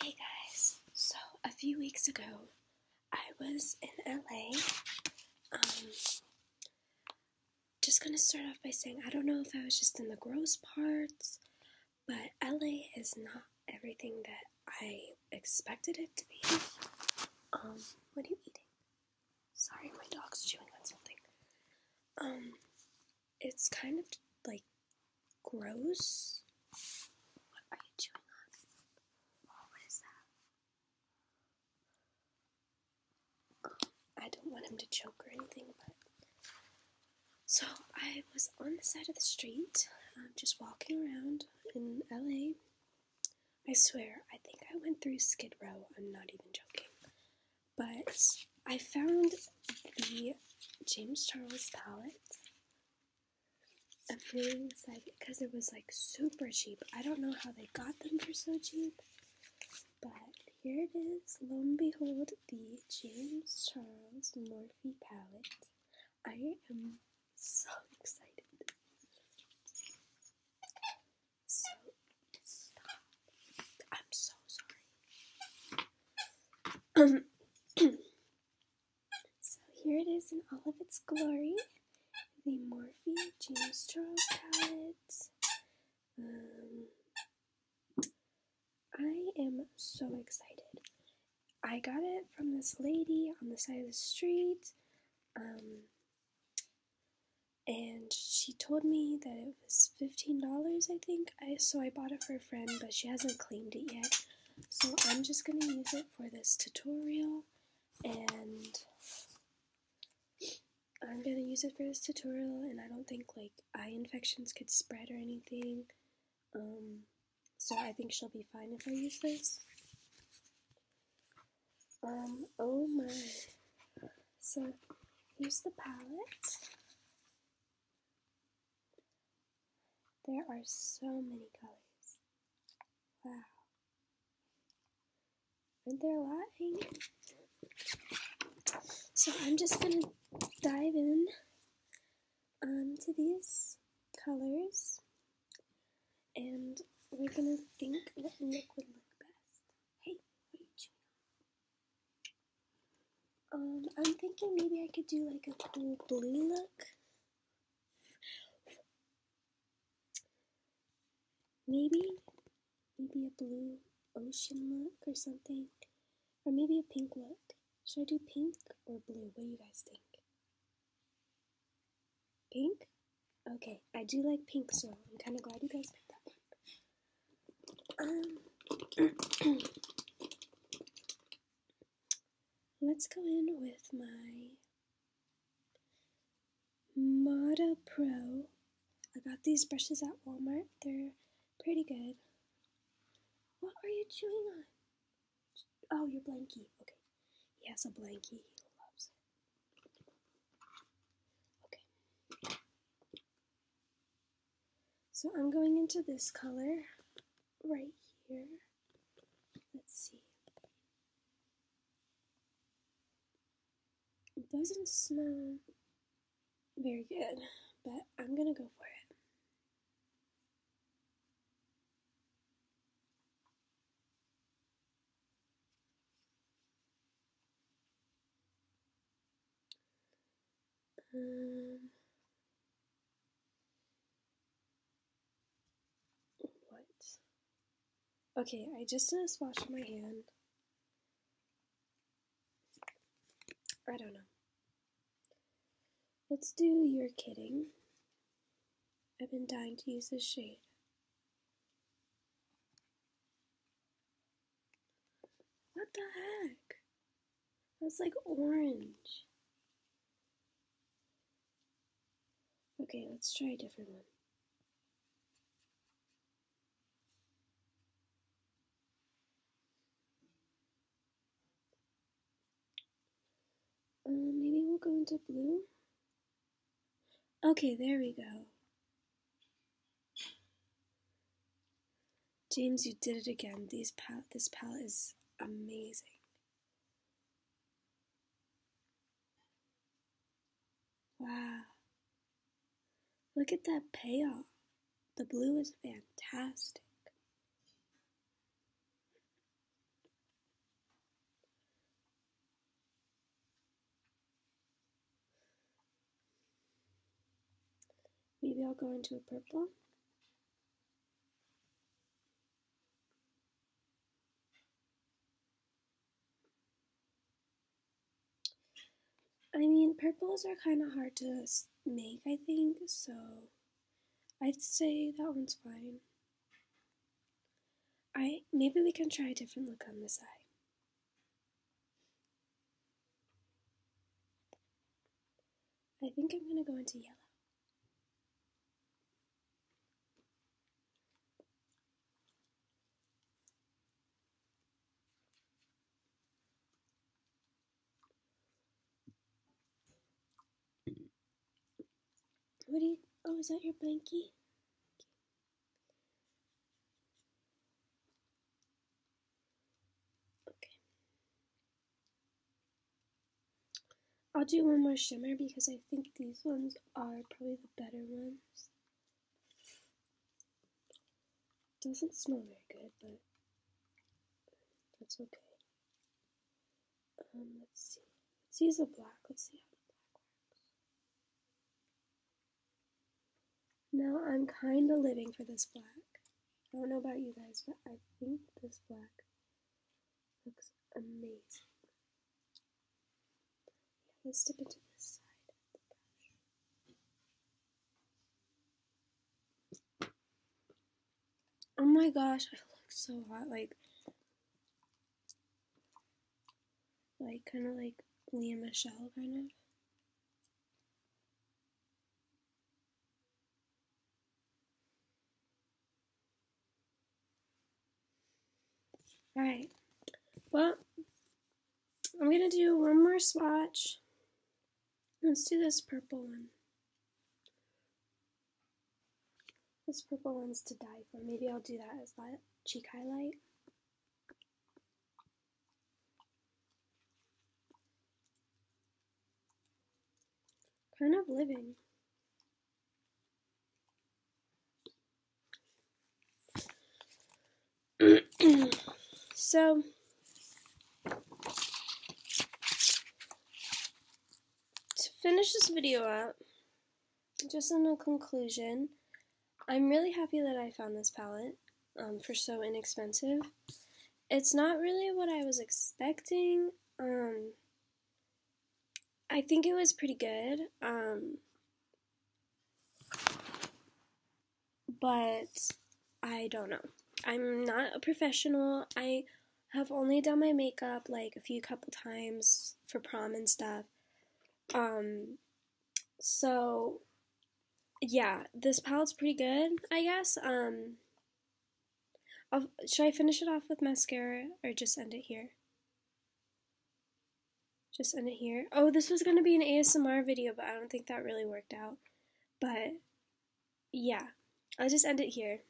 Hey guys, so a few weeks ago I was in LA. Um, just gonna start off by saying I don't know if I was just in the gross parts, but LA is not everything that I expected it to be. Um, what are you eating? Sorry, my dog's chewing on something. Um, it's kind of like Gross? What are you chewing What is that? I don't want him to choke or anything, So I was on the side of the street, um, just walking around in LA. I swear, I think I went through Skid Row. I'm not even joking. But I found the James Charles palette. I'm really excited because it was like super cheap. I don't know how they got them for so cheap, but here it is. Lo and behold, the James Charles Morphe palette. I am so excited. I'm so sorry. so here it is in all of its glory. The Morphe James Charles palette. Um, I am so excited. I got it from this lady on the side of the street. Um, and she told me that it it's fifteen dollars, I think. I so I bought it for a friend, but she hasn't claimed it yet. So I'm just gonna use it for this tutorial, and I'm gonna use it for this tutorial. And I don't think like eye infections could spread or anything. Um, so I think she'll be fine if I use this. Um, oh my. So here's the palette. There are so many colors. Wow. Aren't there a lot So I'm just gonna dive in um, to these colors and we're gonna think what look would look best. Hey, what are you chewing um, I'm thinking maybe I could do like a cool blue look. Maybe, maybe a blue ocean look or something. Or maybe a pink look. Should I do pink or blue? What do you guys think? Pink? Okay, I do like pink, so I'm kind of glad you guys picked that one. Um, let's go in with my Mata Pro. I got these brushes at Walmart. They're pretty good. What are you chewing on? Oh, your blankie. Okay. He has a blankie. He loves Okay. So I'm going into this color right here. Let's see. It doesn't smell very good, but I'm going to go for it. Um, what? Okay, I just did a swatch on my hand. I don't know. Let's do not know let us do your Kidding. I've been dying to use this shade. What the heck? That was like orange. Okay, let's try a different one. Uh, maybe we'll go into blue. Okay, there we go. James, you did it again. this palette is amazing. Wow. Look at that payoff. The blue is fantastic. Maybe I'll go into a purple. I mean, purples are kind of hard to make, I think, so I'd say that one's fine. I maybe we can try a different look on this eye. I think I'm going to go into yellow. What do you, oh, is that your blankie? Okay. I'll do one more shimmer because I think these ones are probably the better ones. Doesn't smell very good, but that's okay. Um, let's see. Let's use a black. Let's see how the black one. Now I'm kind of living for this black. I don't know about you guys, but I think this black looks amazing. let's dip into this side Oh my gosh, I look so hot. Like, like, kind of like Leah Michelle, kind of. Alright, well, I'm going to do one more swatch. Let's do this purple one. This purple one's to die for. Maybe I'll do that as that cheek highlight. Kind of living. so to finish this video up just in a conclusion, I'm really happy that I found this palette um, for so inexpensive. It's not really what I was expecting. Um, I think it was pretty good. Um, but I don't know. I'm not a professional. I have only done my makeup like a few couple times for prom and stuff. Um, so yeah, this palette's pretty good, I guess. Um, should I finish it off with mascara or just end it here? Just end it here. Oh, this was gonna be an ASMR video, but I don't think that really worked out. But yeah, I'll just end it here.